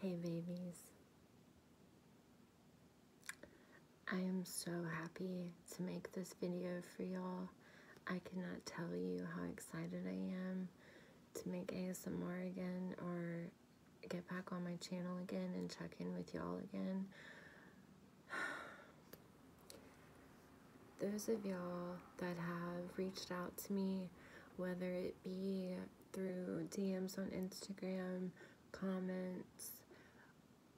Hey babies. I am so happy to make this video for y'all. I cannot tell you how excited I am to make ASMR again or get back on my channel again and check in with y'all again. Those of y'all that have reached out to me, whether it be through DMs on Instagram, comments,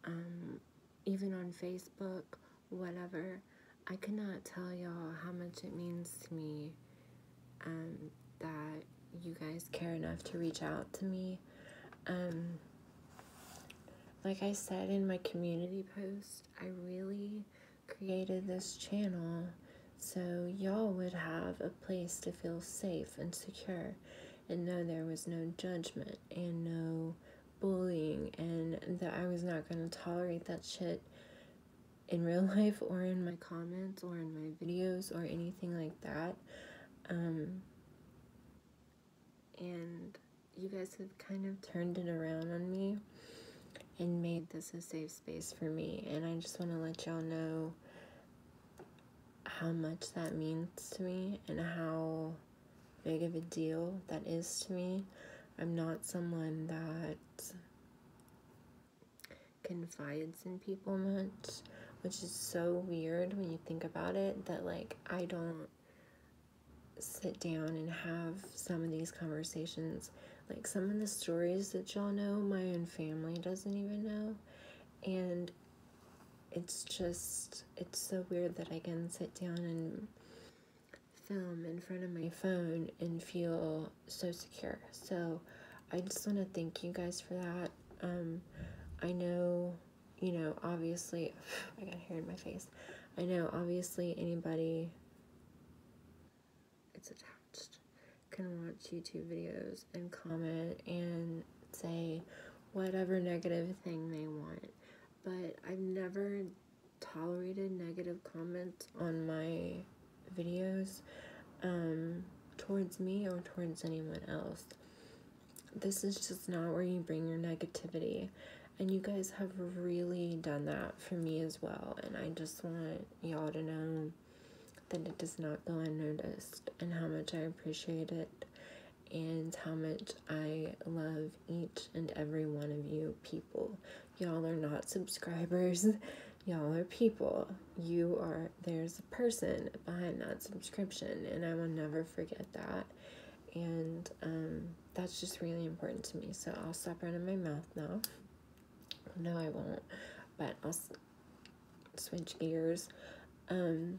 um, even on Facebook, whatever. I cannot tell y'all how much it means to me um, that you guys care enough to reach out to me. Um, like I said in my community post, I really created this channel so y'all would have a place to feel safe and secure and know there was no judgment and no bullying and that I was not going to tolerate that shit in real life or in my comments or in my videos or anything like that. Um, and you guys have kind of turned it around on me and made this a safe space for me. And I just want to let y'all know how much that means to me and how big of a deal that is to me. I'm not someone that confides in people much, which is so weird when you think about it that like I don't sit down and have some of these conversations like some of the stories that y'all know my own family doesn't even know and it's just it's so weird that i can sit down and film in front of my phone and feel so secure so i just want to thank you guys for that um i know you know obviously i got hair in my face i know obviously anybody it's attached can watch YouTube videos and comment and say whatever negative thing they want. But I've never tolerated negative comments on my videos um, towards me or towards anyone else. This is just not where you bring your negativity. And you guys have really done that for me as well. And I just want y'all to know that it does not go unnoticed and how much I appreciate it and how much I love each and every one of you people. Y'all are not subscribers. Y'all are people. You are, there's a person behind that subscription, and I will never forget that. And um, that's just really important to me. So I'll stop running my mouth now. No, I won't. But I'll switch gears. Um,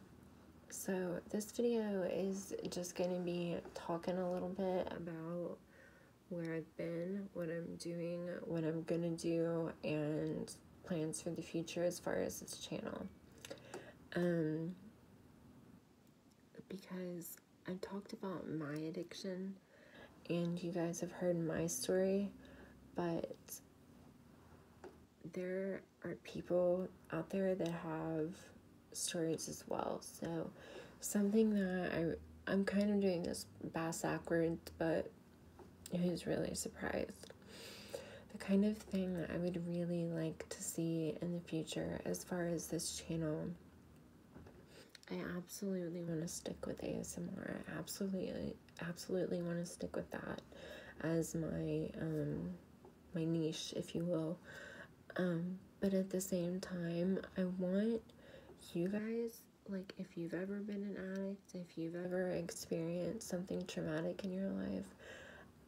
so this video is just going to be talking a little bit about where I've been, what I'm doing, what I'm going to do, and plans for the future as far as this channel. Um, because I've talked about my addiction, and you guys have heard my story, but there are people out there that have stories as well. So, something that I, I'm kind of doing this bass backwards, but who's really surprised? The kind of thing that I would really like to see in the future as far as this channel I absolutely want to stick with ASMR. I absolutely, absolutely want to stick with that as my um, my niche, if you will. Um, but at the same time, I want you guys like if you've ever been an addict, if you've ever experienced something traumatic in your life,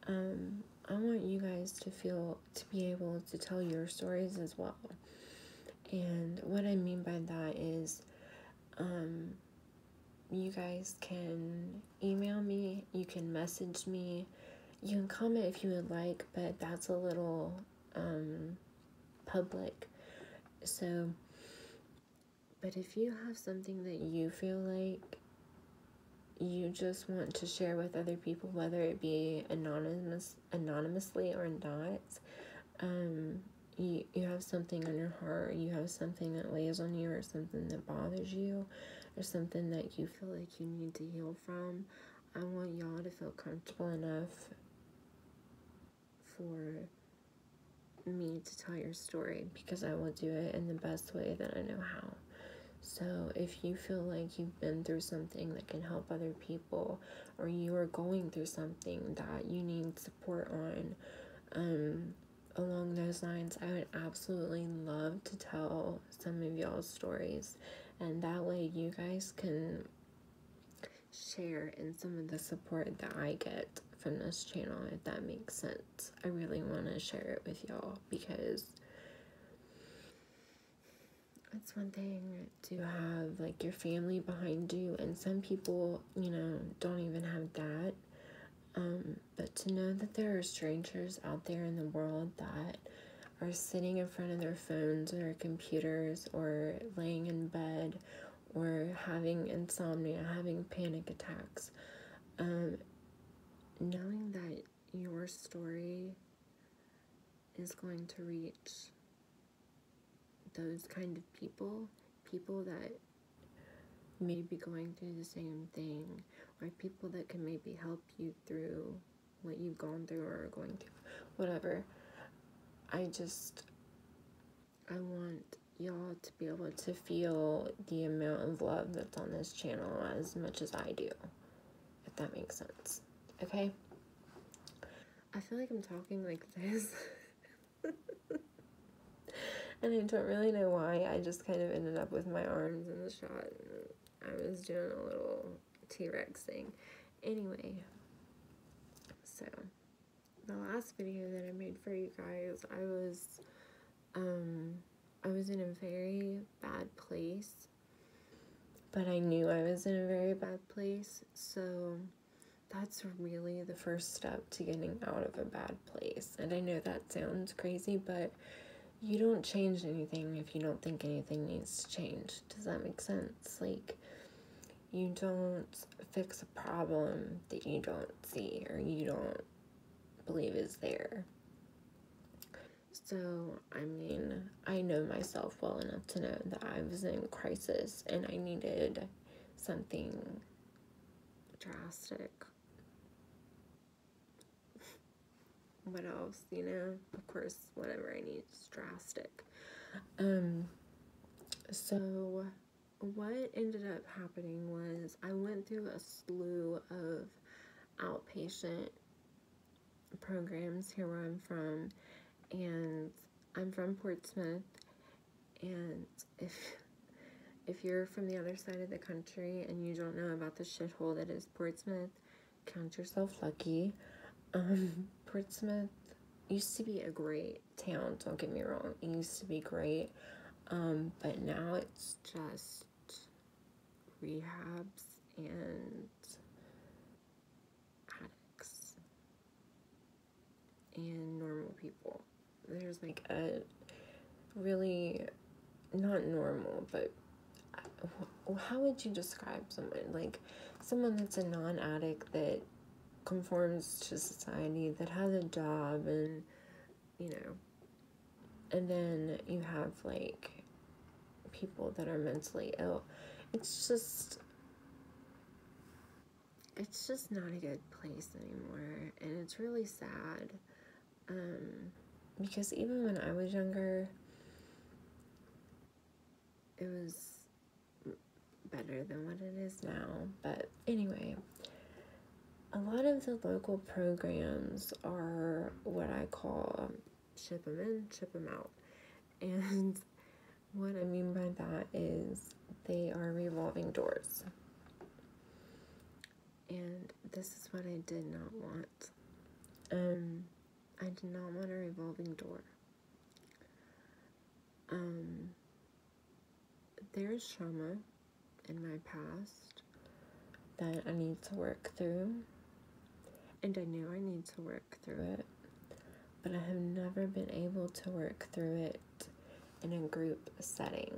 um, I want you guys to feel to be able to tell your stories as well. And what I mean by that is, um, you guys can email me, you can message me, you can comment if you would like, but that's a little um, public. So, but if you have something that you feel like you just want to share with other people, whether it be anonymous anonymously or not, um, you, you have something on your heart, you have something that lays on you, or something that bothers you, or something that you feel like you need to heal from, I want y'all to feel comfortable enough for me to tell your story because I will do it in the best way that I know how. So, if you feel like you've been through something that can help other people, or you are going through something that you need support on, um, along those lines, I would absolutely love to tell some of y'all's stories, and that way you guys can share in some of the support that I get from this channel, if that makes sense. I really want to share it with y'all because it's one thing to have like your family behind you, and some people, you know, don't even have that. Um, but to know that there are strangers out there in the world that are sitting in front of their phones or computers or laying in bed or having insomnia, having panic attacks, um, knowing that your story is going to reach those kind of people, people that may be going through the same thing, or people that can maybe help you through what you've gone through or going through, whatever. I just, I want y'all to be able to feel the amount of love that's on this channel as much as I do if that makes sense. Okay? I feel like I'm talking like this. and I don't really know why. I just kind of ended up with my arms in the shot. I was doing a little T-Rex thing. Anyway, so the last video that I made for you guys, I was, um, I was in a very bad place but I knew I was in a very bad place, so that's really the first step to getting out of a bad place. And I know that sounds crazy, but you don't change anything if you don't think anything needs to change. Does that make sense? Like, you don't fix a problem that you don't see or you don't believe is there. So, I mean, I know myself well enough to know that I was in crisis and I needed something drastic. what else, you know? Of course, whatever I need is drastic. Um, so, what ended up happening was I went through a slew of outpatient programs here where I'm from, and I'm from Portsmouth, and if if you're from the other side of the country and you don't know about the shithole that is Portsmouth, count yourself lucky. Um, Portsmouth used to be a great town, don't get me wrong. It used to be great, um, but now it's just rehabs and addicts and normal people. There's like a really not normal, but uh, how would you describe someone like someone that's a non-addict that conforms to society that has a job and you know and then you have like people that are mentally ill. It's just it's just not a good place anymore and it's really sad um, because even when I was younger it was better than what it is now but anyway a lot of the local programs are what I call um, ship them in, ship them out. And what I mean by that is they are revolving doors. And this is what I did not want. Um, I did not want a revolving door. Um, there's trauma in my past that I need to work through. And I knew I need to work through it, but I have never been able to work through it in a group setting.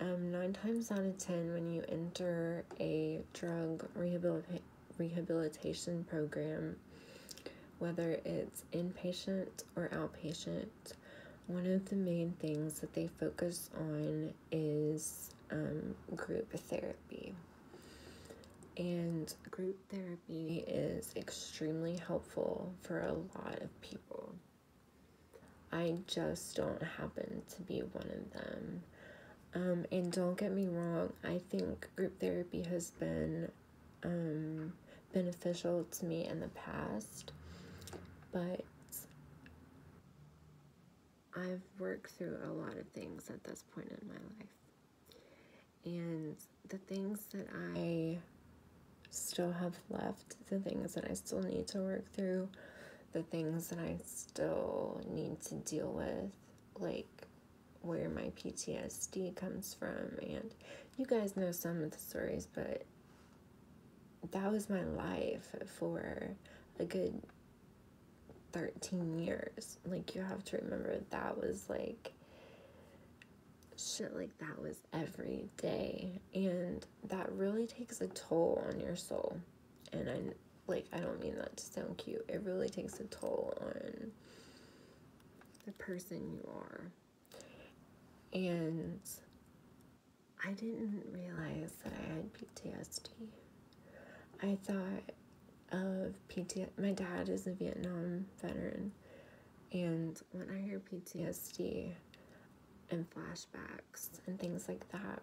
Um, nine times out of ten, when you enter a drug rehabilita- rehabilitation program, whether it's inpatient or outpatient, one of the main things that they focus on is um, group therapy. And group therapy is extremely helpful for a lot of people. I just don't happen to be one of them. Um, and don't get me wrong, I think group therapy has been um, beneficial to me in the past, but I've worked through a lot of things at this point in my life. And the things that I still have left, the things that I still need to work through, the things that I still need to deal with, like where my PTSD comes from. And you guys know some of the stories, but that was my life for a good 13 years. Like, you have to remember that was like shit like that was every day. And that really takes a toll on your soul. And I, like, I don't mean that to sound cute. It really takes a toll on the person you are. And I didn't realize that I had PTSD. I thought of PTSD. My dad is a Vietnam veteran, and when I hear PTSD and flashbacks and things like that,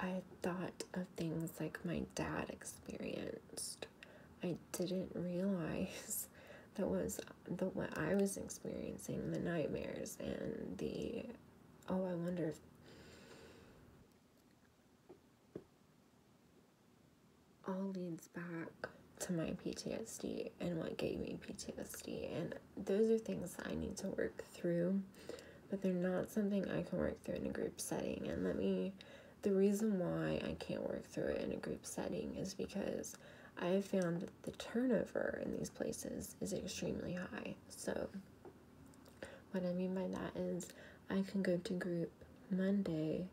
I thought of things like my dad experienced. I didn't realize that was the what I was experiencing the nightmares and the Oh, I wonder if. All leads back to my PTSD and what gave me PTSD. And those are things I need to work through, but they're not something I can work through in a group setting. And let me, the reason why I can't work through it in a group setting is because I have found the turnover in these places is extremely high. So, what I mean by that is I can go to group Monday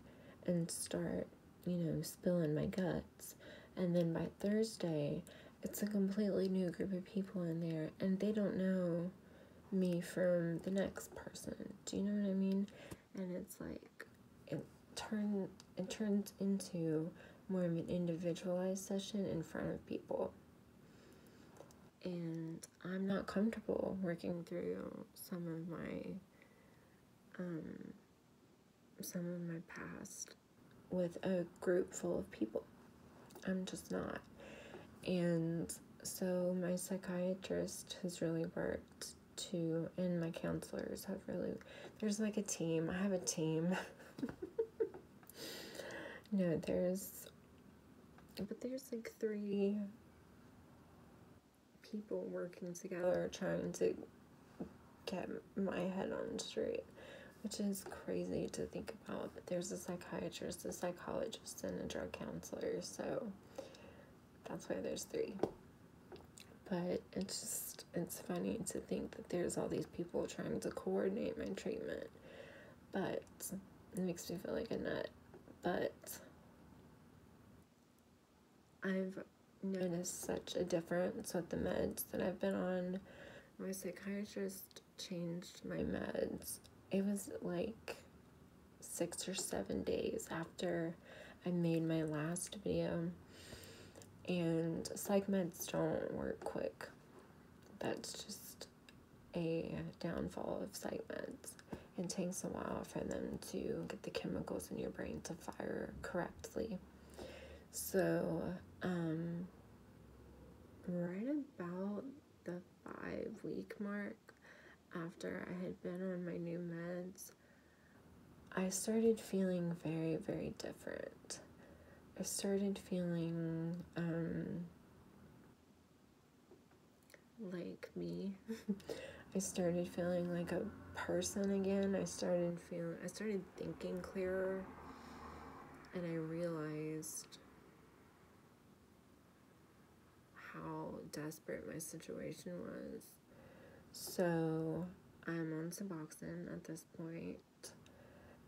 and start, you know, spilling my guts, and then by Thursday, it's a completely new group of people in there, and they don't know me from the next person. Do you know what I mean? And it's like, it turn it turns into more of an individualized session in front of people. And I'm not comfortable working through some of my um, some of my past with a group full of people. I'm just not. And so my psychiatrist has really worked to, and my counselors have really, there's like a team. I have a team. no, there's, but there's like three people working together trying to get my head on straight, which is crazy to think about. But there's a psychiatrist, a psychologist, and a drug counselor, so that's why there's three. But it's just it's funny to think that there's all these people trying to coordinate my treatment but it makes me feel like a nut but I've noticed such a difference with the meds that I've been on my psychiatrist changed my meds it was like six or seven days after I made my last video and psych meds don't work quick. That's just a downfall of psych meds. It takes a while for them to get the chemicals in your brain to fire correctly. So, um, right about the five week mark after I had been on my new meds, I started feeling very, very different. I started feeling um, like me. I started feeling like a person again. I started feeling, I started thinking clearer. And I realized how desperate my situation was. So I'm on Suboxone at this point.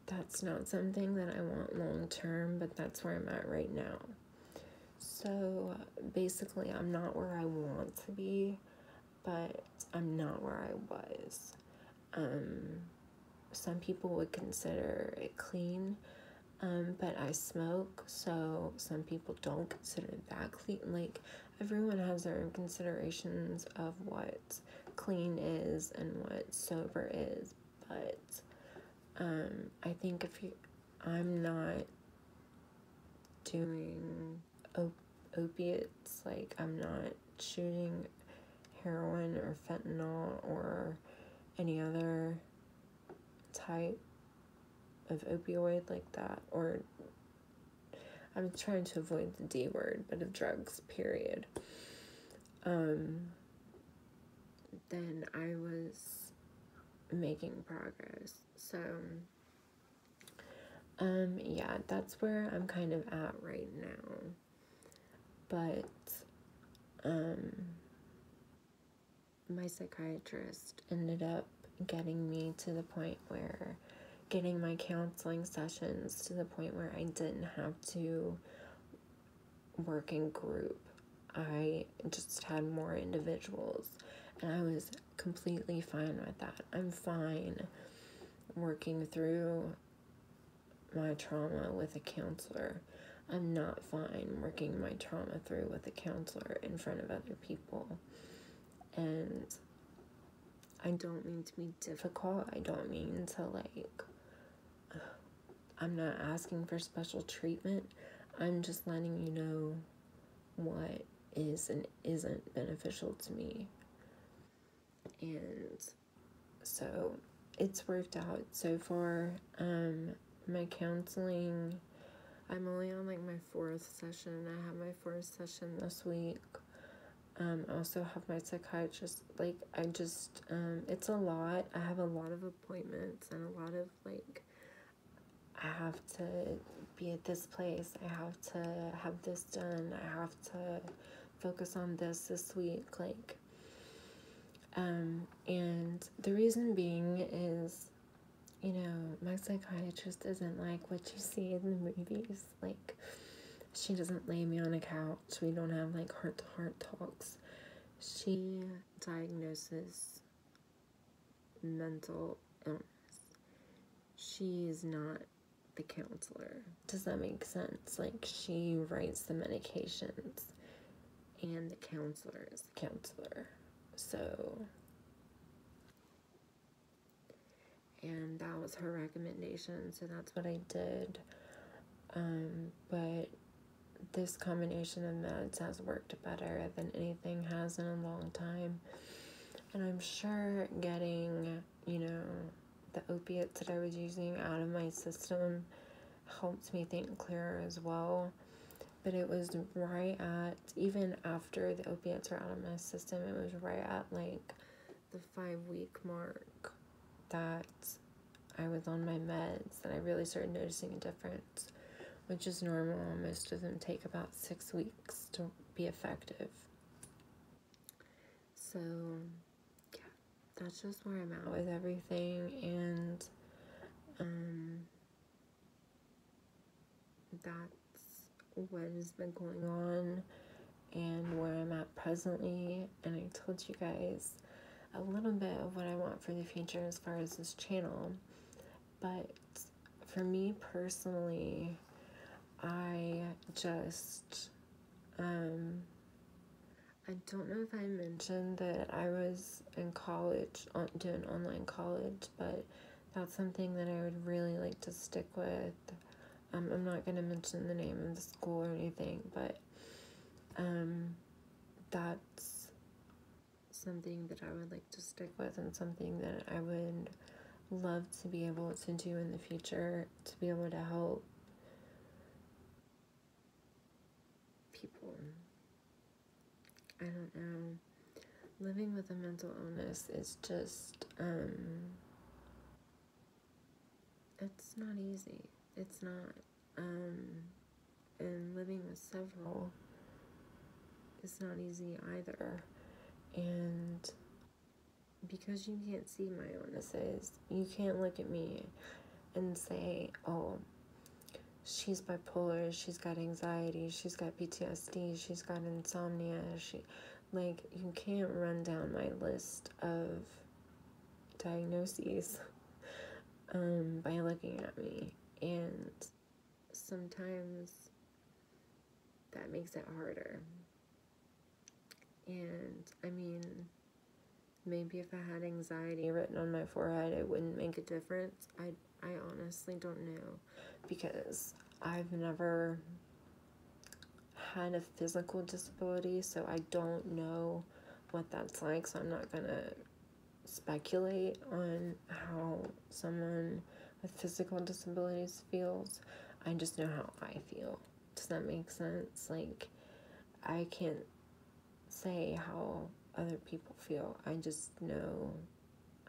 That's not something that I want long term, but that's where I'm at right now. So basically, I'm not where I want to be, but I'm not where I was. Um, some people would consider it clean, um, but I smoke, so some people don't consider that clean. Like, everyone has their own considerations of what clean is and what sober is, but um, I think if you, I'm not doing op opiates, like I'm not shooting heroin or fentanyl or any other type of opioid like that or I'm trying to avoid the D word, but of drugs, period. Um, then I was making progress. So, um, yeah, that's where I'm kind of at right now. But, um, my psychiatrist ended up getting me to the point where getting my counseling sessions to the point where I didn't have to work in group. I just had more individuals and I was completely fine with that. I'm fine working through my trauma with a counselor. I'm not fine working my trauma through with a counselor in front of other people. And I don't mean to be difficult. I don't mean to, like, I'm not asking for special treatment. I'm just letting you know what is and isn't beneficial to me. And so it's worked out so far. Um, my counseling, I'm only on like my fourth session. I have my fourth session this week um, I also have my psychiatrist, like, I just, um, it's a lot, I have a lot of appointments, and a lot of, like, I have to be at this place, I have to have this done, I have to focus on this this week, like, um, and the reason being is you know, my psychiatrist isn't like what you see in the movies. Like, she doesn't lay me on a couch. We don't have like heart to heart talks. She diagnoses mental illness. She is not the counselor. Does that make sense? Like, she writes the medications, and the counselor is the counselor. So, and that was her recommendation so that's what I did um, but this combination of meds has worked better than anything has in a long time and I'm sure getting you know the opiates that I was using out of my system helped me think clearer as well but it was right at even after the opiates were out of my system, it was right at like the five week mark that I was on my meds and I really started noticing a difference, which is normal. Most of them take about six weeks to be effective. So, yeah, that's just where I'm at with everything. And, um, that's what has been going on and where I'm at presently and I told you guys a little bit of what I want for the future as far as this channel but for me personally I just um I don't know if I mentioned that I was in college doing online college but that's something that I would really like to stick with. Um, I'm not going to mention the name of the school or anything, but um, that's something that I would like to stick with and something that I would love to be able to do in the future to be able to help people I don't know. Living with a mental illness is just, um, it's not easy. It's not. Um, and living with several It's not easy either. And because you can't see my illnesses, you can't look at me and say, oh, she's bipolar, she's got anxiety, she's got PTSD she's got insomnia, she like you can't run down my list of diagnoses um, by looking at me and sometimes that makes it harder and I mean maybe if I had anxiety written on my forehead it wouldn't make a difference I'd I honestly don't know because I've never had a physical disability, so I don't know what that's like, so I'm not gonna speculate on how someone with physical disabilities feels. I just know how I feel. Does that make sense? Like, I can't say how other people feel. I just know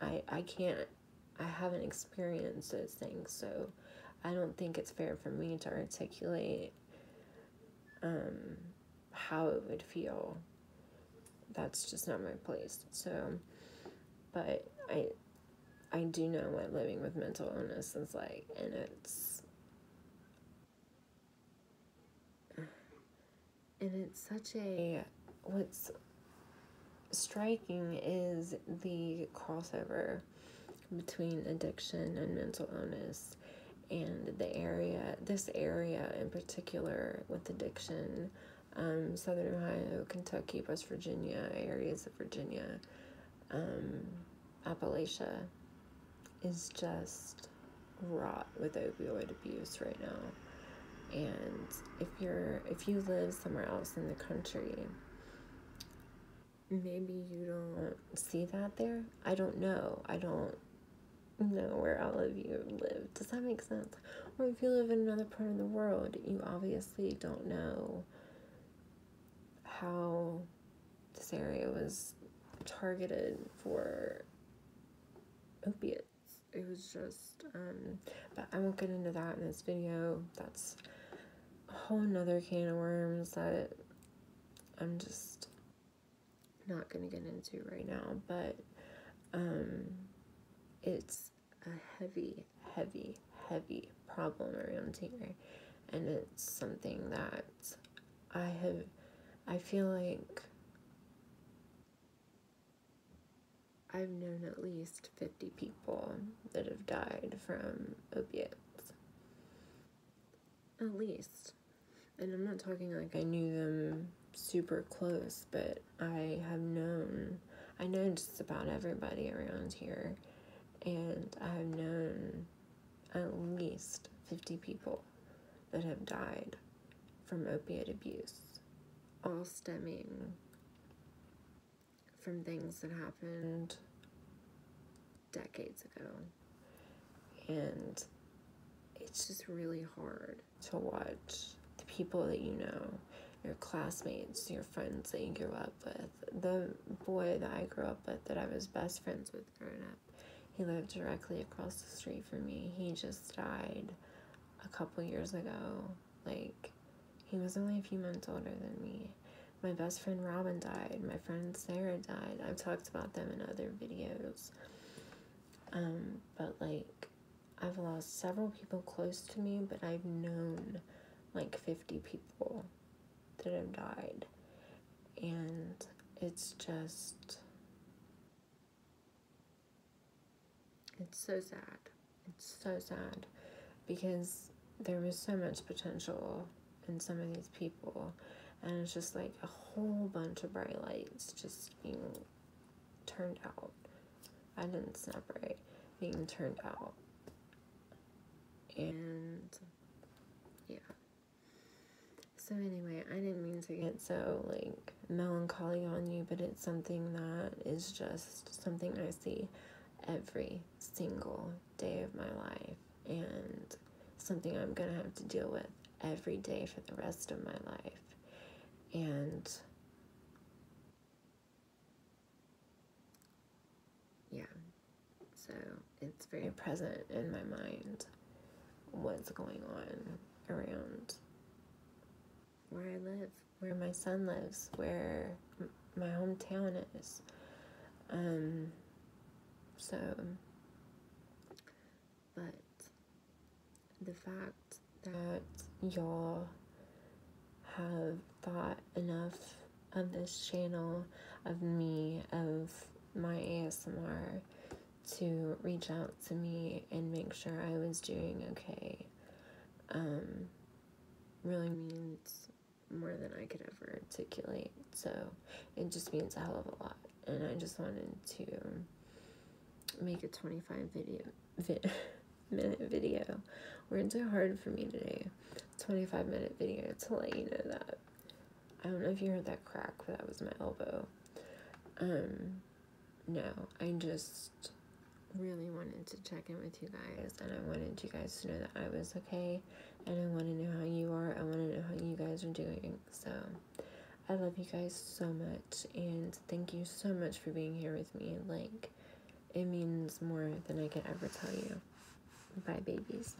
I, I can't, I haven't experienced those things, so I don't think it's fair for me to articulate um, how it would feel. That's just not my place. So, but I, I do know what living with mental illness is like, and it's and it's such a what's striking is the crossover between addiction and mental illness and the area this area in particular with addiction um, southern ohio kentucky west virginia areas of virginia um, appalachia is just raw with opioid abuse right now. And if you're if you live somewhere else in the country, maybe you don't see that there. I don't know. I don't know where all of you live. Does that make sense? Or if you live in another part of the world, you obviously don't know how this area was targeted for opiates it was just um but i won't get into that in this video that's a whole nother can of worms that i'm just not gonna get into right now but um it's a heavy heavy heavy problem around here and it's something that i have i feel like I've known at least 50 people that have died from opiates. At least. And I'm not talking like I knew them super close, but I have known, I know just about everybody around here, and I've known at least 50 people that have died from opioid abuse, all stemming from things that happened decades ago. And it's just really hard to watch the people that you know, your classmates, your friends that you grew up with, the boy that I grew up with that I was best friends with growing up he lived directly across the street from me. He just died a couple years ago. Like, he was only a few months older than me. My best friend Robin died. My friend Sarah died. I've talked about them in other videos. Um, but like, I've lost several people close to me, but I've known like 50 people that have died. And it's just it's so sad. It's so sad because there was so much potential in some of these people and it's just like a whole bunch of bright lights just being turned out. I didn't snap right, being turned out. And yeah. So anyway, I didn't mean to get so like melancholy on you, but it's something that is just something I see every single day of my life and something I'm going to have to deal with every day for the rest of my life. And yeah. So, it's very present in my mind what's going on around where I live, where my son lives, where my hometown is. Um, so, but the fact that y'all have thought enough of this channel, of me, of my ASMR to reach out to me and make sure I was doing okay um, really means more than I could ever articulate. So it just means a hell of a lot. And I just wanted to make a 25 video vid, minute video. We're too hard for me today. 25 minute video to let you know that. I don't know if you heard that crack, but that was my elbow. Um, no, I just really wanted to check in with you guys and I wanted you guys to know that I was okay and I wanted to know how you are. I want to know how you guys are doing. So I love you guys so much and thank you so much for being here with me. Like, it means more than I can ever tell you. Bye, babies.